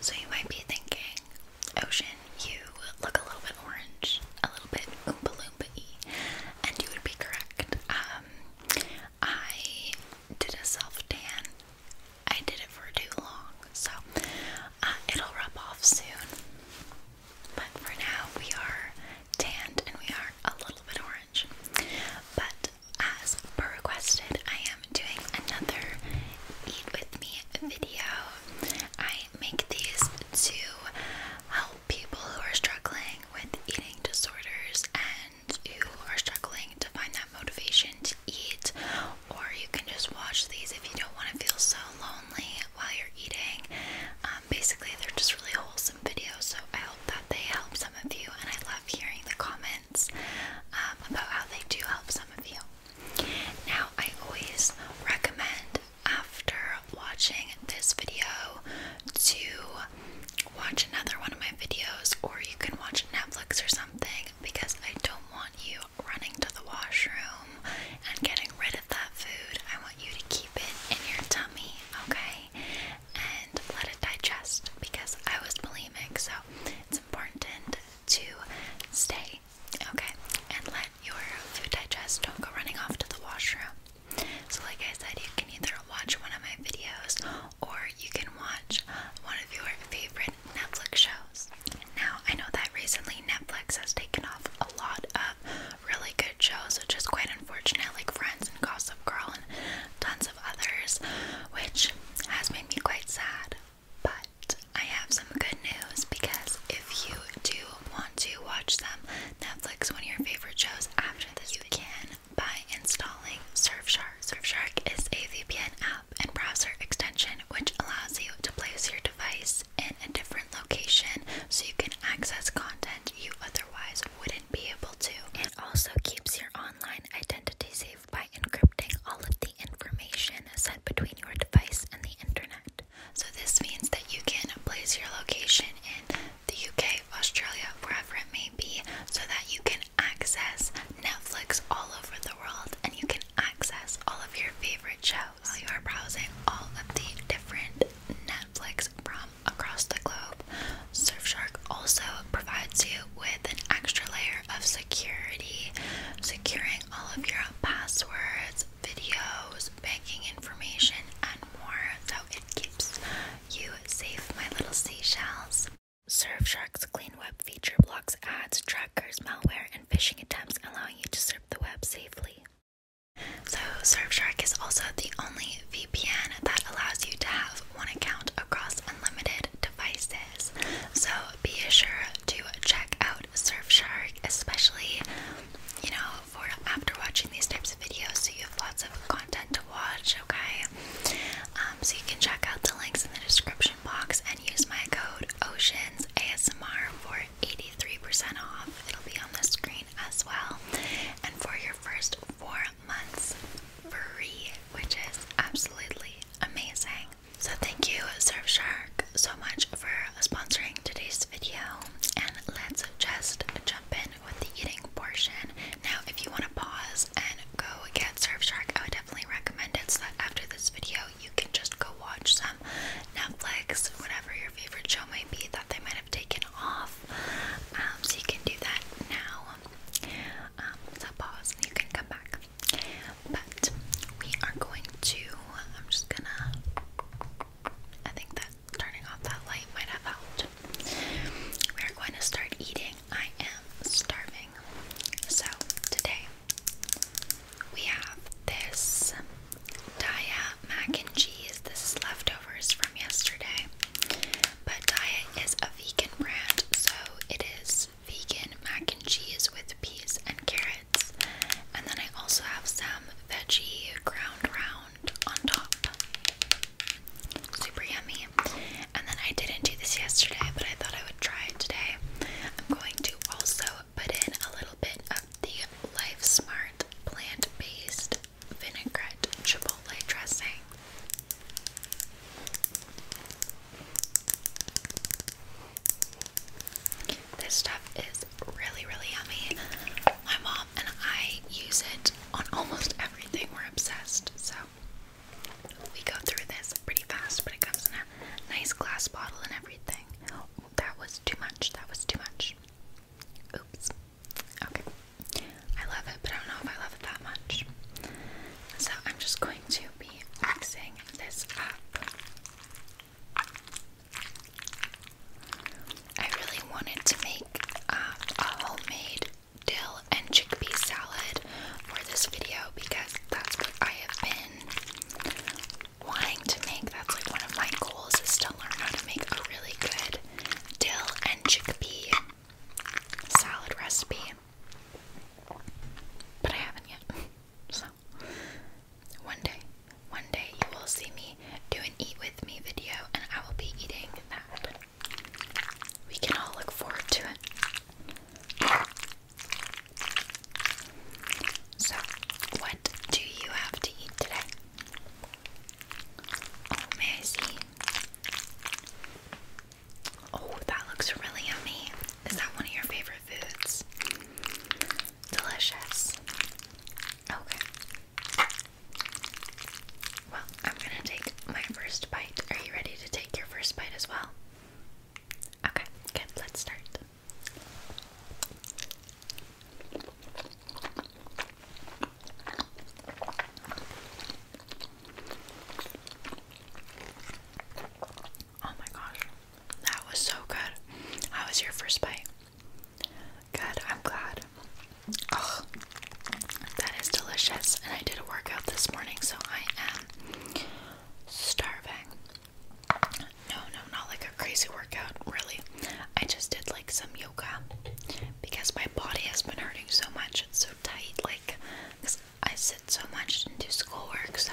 So you might be thinking, Ocean, you look a little bit orange, a little bit oompa loompa and you would be correct. Um, I did a self tan, I did it for too long, so uh, it'll rub off soon. But for now, we are tanned and we are a little bit orange. But as per requested, I am am doing another Eat With Me video. I make these to help people who are struggling with eating disorders and who are struggling to find that motivation to eat, or you can just watch these if you don't want to feel so lonely while you're eating. Um, basically, they're just really wholesome videos, so I hope that they help some of you, and I love hearing the comments um, about how they do help some of you. Now, I always recommend after watching this video to watch another one of my videos, or you can watch Netflix or something because I don't want you running to the washroom and getting rid of that food. I want you to keep it in your tummy, okay? And let it digest because I was bulimic, so it's important to stay, okay? And let your food digest. Don't go running off to the washroom. So, like I said, you can either watch one of my videos or you can watch one of your favorite Netflix shows. Now, I know that recently Netflix has taken off a lot of really good shows, which is quite unfortunate, like Friends and Gossip Girl and tons of others, which has made me quite sad. But I have some good news because if you do want to watch them, Netflix, one of your favorite shows after this, you can by installing Surfshark. Surfshark is a VPN app and browser extension which allows you to place your device in a different location so you can access content you otherwise wouldn't be able to. and also keeps your online identity safe by encrypting all of the information set between your device and the internet. So, this means that you can place your location in the UK, Australia, wherever it may be, so that you can access Netflix all over the world and you can access all of your favorite shows while you are browsing all of the different Netflix from across the globe. Surfshark also provides you with an extra layer of security, securing all of your passwords, videos, banking information, and more. So it keeps you safe, my little seashells. Surfshark's clean web feature blocks ads, trackers, malware, and phishing attempts, allowing you to surf the web safely. So, Surfshark is also the only VPN that allows you to have one account across unlimited devices. So, be assured to check out Surfshark, especially you know for after watching these types of videos, so you have lots of content to watch. Okay, um, so you can check out the links in the description box and use my code Oceans ASMR for 83% off. It'll be on the screen as well, and for your first four months free, which is absolutely amazing. So thank you Surfshark so much for sponsoring today's video and let's just jump in with the eating portion. Now if you want to pause and go get Surfshark, I would definitely recommend it so that after this video you can just go watch some Netflix, whatever your favorite show might be that they might have taken off. Um, so you can do that now. Um, so pause and you can come back. But we are going to, I'm just gonna, I think that turning off that light might have helped. We are going to start eating. I am starving. So today we have this Daya mac and cheese. This is leftovers from yesterday. But Daya is a vegan brand, so it is vegan mac and cheese with peas and carrots. And then I also have some veggie ground round on top. Super yummy. And then I didn't do this yesterday, but I thought I would try it today. I'm going to also put in a little bit of the Life Smart plant based vinaigrette chipotle dressing. This stuff is really, really yummy. My mom and I use it on almost everything. We're obsessed. So we go through this pretty fast, but it comes in a nice glass bottle and everything. that was too much. That was too much. Oops. Okay. I love it, but I don't know if I love it that much. So I'm just going to be axing this up. I really wanted to make um, a homemade dill and chickpea salad for this video because that's what I have been wanting to make. That's like one of my goals is to learn how to make a really good dill and chickpea salad recipe. But I haven't yet. So one day, one day you will see me do an eat with me video and I will be eating that. We can all look forward to it. So, what do you have to eat today? Oh, Oh, that looks really yummy. Is that one of your favorite foods? Delicious. Okay. Well, I'm gonna take my first bite. Are you ready to take your first bite as well? Okay, good. Let's start. Oh my gosh, that was so good. I was your first bite? Good, I'm glad. Oh, that is delicious. And I did a workout this morning, so I am starving. No, no, not like a crazy workout, really. I just did like some yoga because my body has been hurting so much. It's so tight, like, I sit so much and do schoolwork, so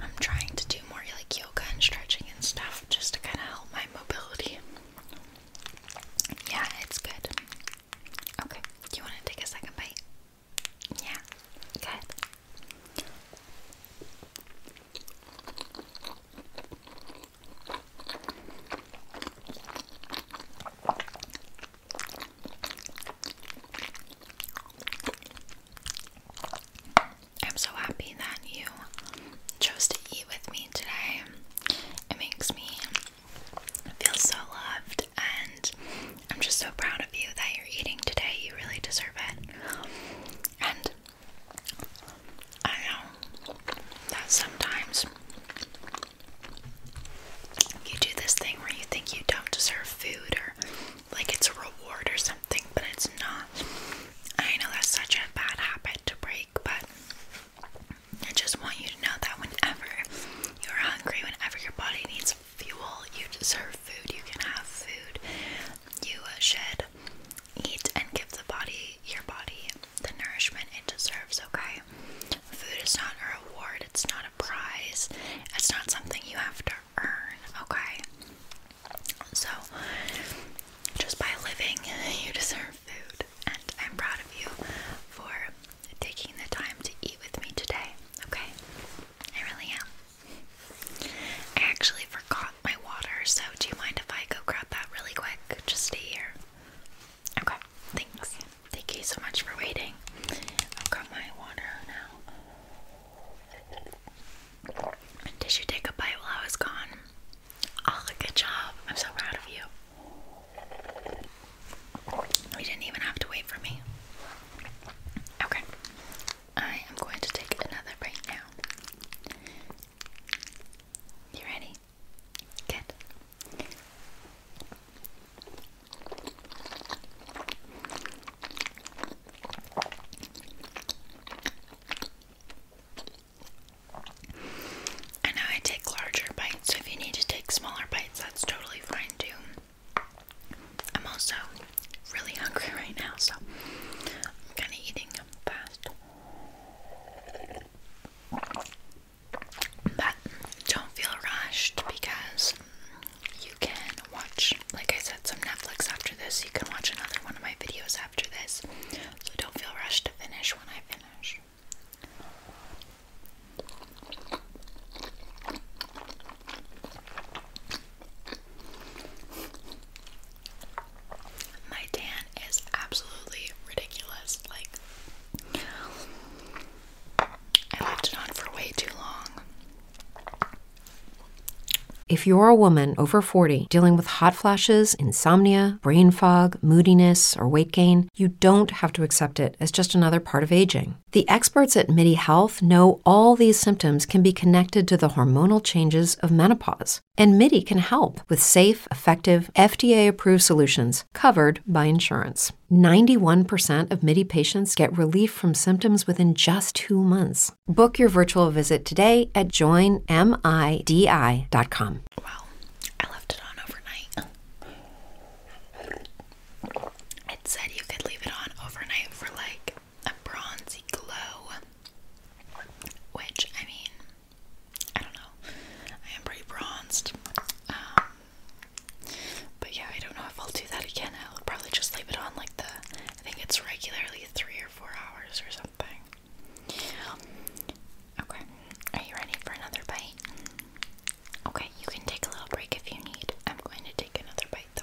I'm trying to do more like yoga and stretching and stuff just to kind of help my mobility. Yeah, it's good. Okay, do you want to take a second bite? Yeah, good. I'm so happy that you chose to eat with me today. It makes me feel so loved, and I'm just so proud of you that you're eating today. You really deserve it. And I know that sometimes you do this thing where you think you don't deserve food or like it's a reward or something, but it's not. I know that's such a bad habit to break, but I just want you to know that whenever you're hungry, whenever your body needs fuel, you deserve food, you can have food. You uh, should eat and give the body, your body, the nourishment it deserves, okay? Food is not a reward, it's not a prize, it's not something you have to earn, okay? So, just by living, you deserve food, and I'm proud of you for taking the time to eat with me today, okay? I really am. I actually forgot my water, so do you mind if I go grab that really quick? Just stay here. Okay, thanks. Thank you so much for waiting. I've got my water now. Did you take a bite while I was gone? Oh, good job. I'm so proud of you. You didn't even have to wait for me. Okay. I am going to take another bite now. You ready? Good. I know I take larger bites, so if you need to take smaller bites, that's totally fine too. I'm also really hungry right now, so I'm kind of eating fast. But don't feel rushed because you can watch, like I said, some Netflix after this. You can watch another one of my videos after this. So don't feel rushed to finish when I finish. My tan is absolutely ridiculous. Like, I left it on for way too long. If you're a woman over 40 dealing with hot flashes, insomnia, brain fog, moodiness, or weight gain, you don't have to accept it as just another part of aging. The experts at MIDI Health know all these symptoms can be connected to the hormonal changes of menopause, and MIDI can help with safe, effective, FDA approved solutions covered by insurance. 91% of MIDI patients get relief from symptoms within just two months. Book your virtual visit today at joinmidi.com. Wow, I left it on overnight. It said you could leave it on overnight for like a bronzy glow, which I mean, I don't know. I am pretty bronzed. Um, but yeah, I don't know if I'll do that again. I'll probably just leave it on like the, I think it's regularly three or four hours or something. Okay, are you ready for another bite? Okay, you can take a little break if you need. I'm going to take another bite though.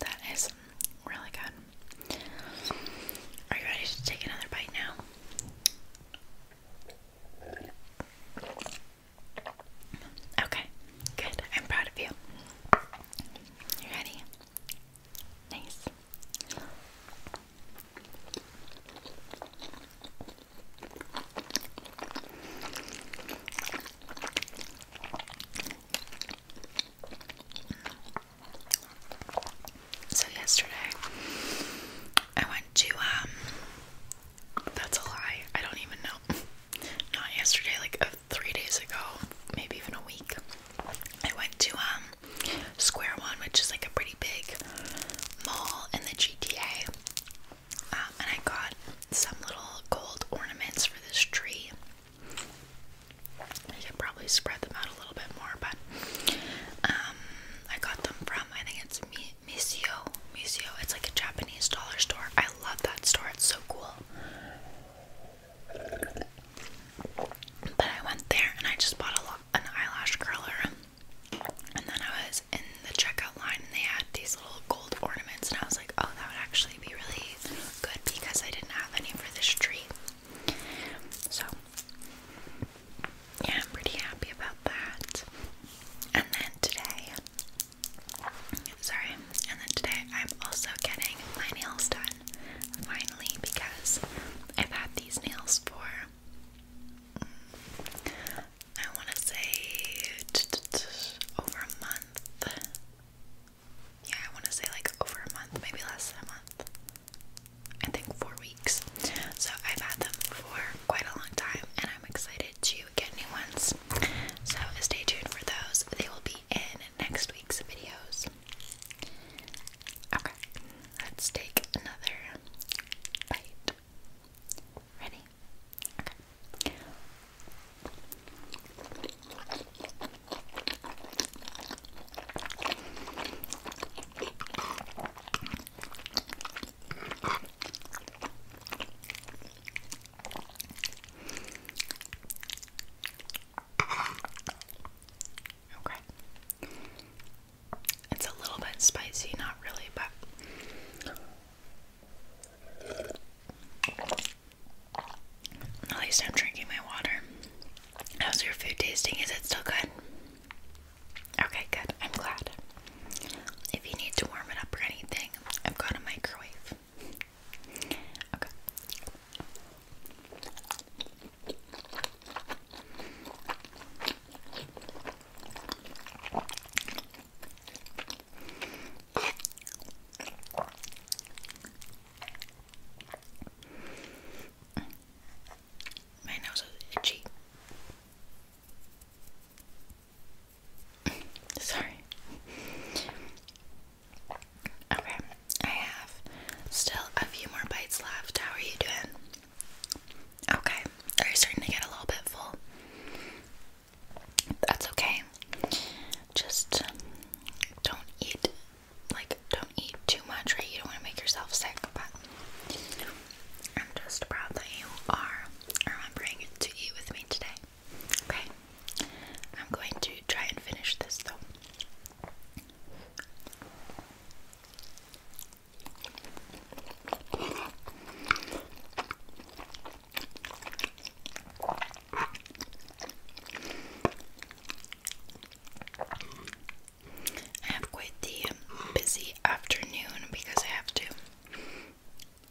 That is really good. Are you ready to take another bite now? Okay, good. I'm proud of you. You ready? Nice. So yesterday I went to um that's a lie. I don't even know. Not yesterday, like uh, 3 days ago, maybe even a week. I went to um Square One, which is like a pretty big mall in the GTA. Um, and I got some little gold ornaments for this tree. I can probably spread them out a little bit more, but um, I got them from I think it's Mi Misio. Misio. It's like a Japanese dollar store. I love that store. It's so cool. But I went there and I just bought a lot, an eyelash curler, and then I was in the checkout line and they had these little gold ornaments, and I was like, oh, that would actually be really good because I didn't have any for this tree. So, yeah, I'm pretty happy about that. And then today, sorry, and then today I'm also getting my nails done finally because I've had these nails for I want to say over a month yeah, I want to say like over a month, maybe less than a month. I think four weeks. So I've had them for quite a long time, and I'm excited to get new ones. So stay tuned for those. They will be in next week's videos. Okay, let's take another bite. Ready? Okay. It's a little bit spicy, not really, but at least I'm drinking my water. How's your food tasting? Is it still good? Okay, good. I'm glad. If you need to warm it up or anything, I've got a microwave. Okay. My nose is itchy. Sorry. Okay, I have still a few more bites left. How are you doing? Okay, are you starting to get a little bit full? That's okay. Just don't eat like don't eat too much, right? You don't want to make yourself sick, but I'm just proud that you are remembering to eat with me today. Okay. I'm going to try and finish this though. I have quite the busy afternoon because I have to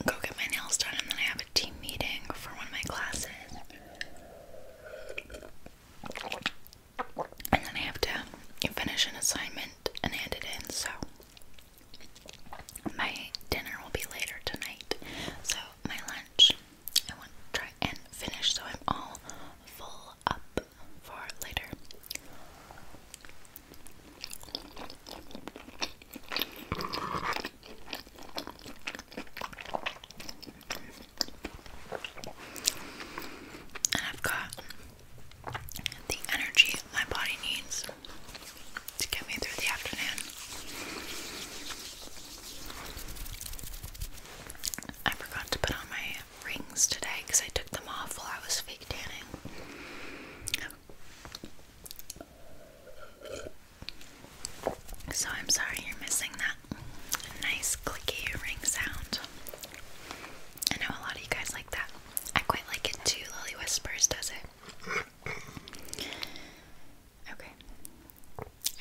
go get my nails done and then I have a team meeting for one of my classes. And then I have to finish an assignment and hand it in, so my dinner will be later tonight. So my lunch I want to try and finish so I'm all full up for later. And I've got the energy my body needs to get me through the afternoon. I forgot to put on my rings today because I took them off while I was fake tanning. So I'm sorry you're missing that nice clicky ring sound. I know a lot of you guys like that. I quite like it too. Lily Whispers does it. Okay.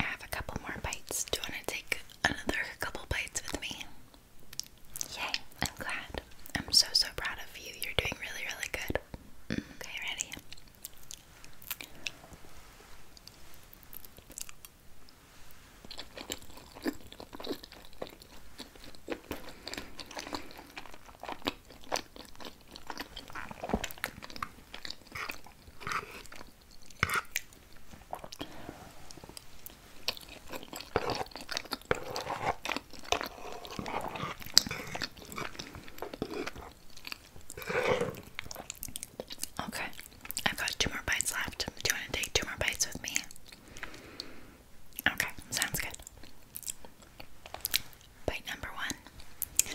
I have a couple more bites. Do you want to take another couple bites with me? Yay, I'm glad. I'm so, so proud of you. You're doing really, really good. Mm, okay, ready? Okay, I've got two more bites left. Do you want to take two more bites with me? Okay, sounds good. Bite number one.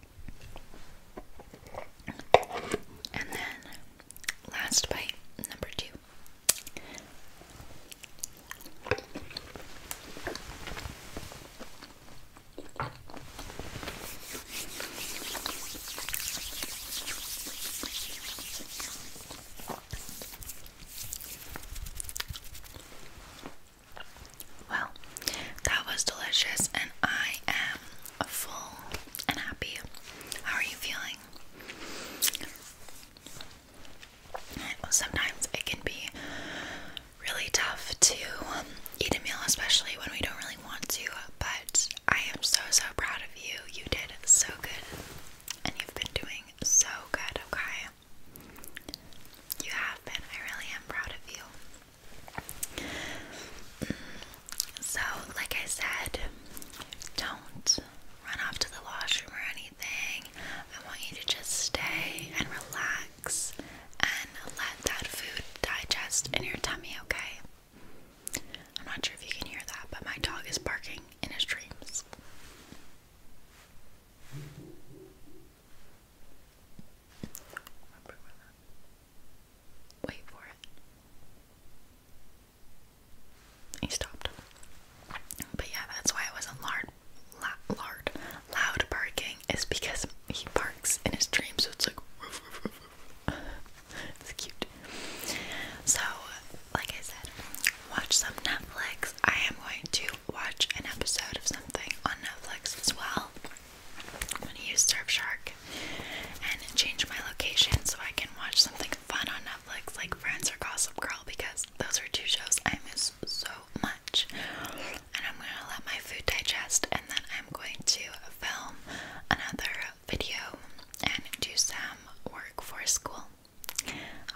And then last bite, number two. Well, that was delicious, and I am full and happy. How are you feeling? sometimes it can be really tough to um, eat a meal, especially when we don't really want to, but I am so, so proud of you. You did so good, and you've been doing so good, okay? You have been. I really am proud of you. So, like I said, don't run off to the washroom or anything. I want you to just stay and relax and let that food digest in your tummy, okay? I'm not sure if you can hear that, but my dog is barking in his dreams. Wait for it. He stopped. But yeah, that's why it was a lard, lard, loud barking. Is because he barks in his dream, so it's like it's cute. So, like I said, watch some Netflix. I am going to watch an episode of something on Netflix as well. I'm gonna use Surfshark and change my location so I can watch something fun on Netflix like Friends or Gossip Girl because those are two shows I miss so much. And I'm gonna let my food digest and then I'm going to film another video and do some work for school.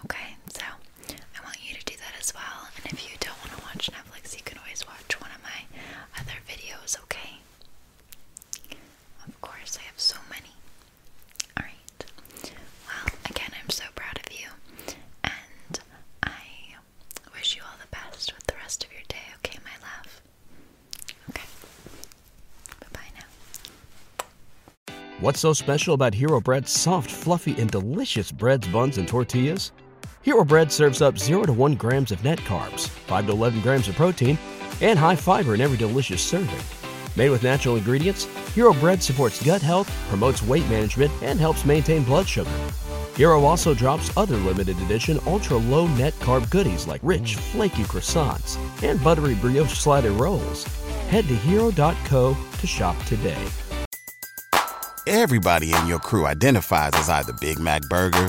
Okay, so I want you to do that as well. And if you don't want to watch Netflix, you can always watch one of my other videos, okay? Of course, I have so many. Alright. Well, again, I'm so proud of you. And I wish you all the best with the rest of your day, okay, my love? Okay. Bye now. What's so special about Hero Bread's soft, fluffy, and delicious breads, buns, and tortillas? Hero Bread serves up 0 to 1 grams of net carbs 5 to 11 grams of protein, and high fiber in every delicious serving. Made with natural ingredients, Hero Bread supports gut health, promotes weight management, and helps maintain blood sugar. Hero also drops other limited edition ultra low net carb goodies like rich, flaky croissants and buttery brioche slider rolls. Head to hero.co to shop today. Everybody in your crew identifies as either Big Mac Burger,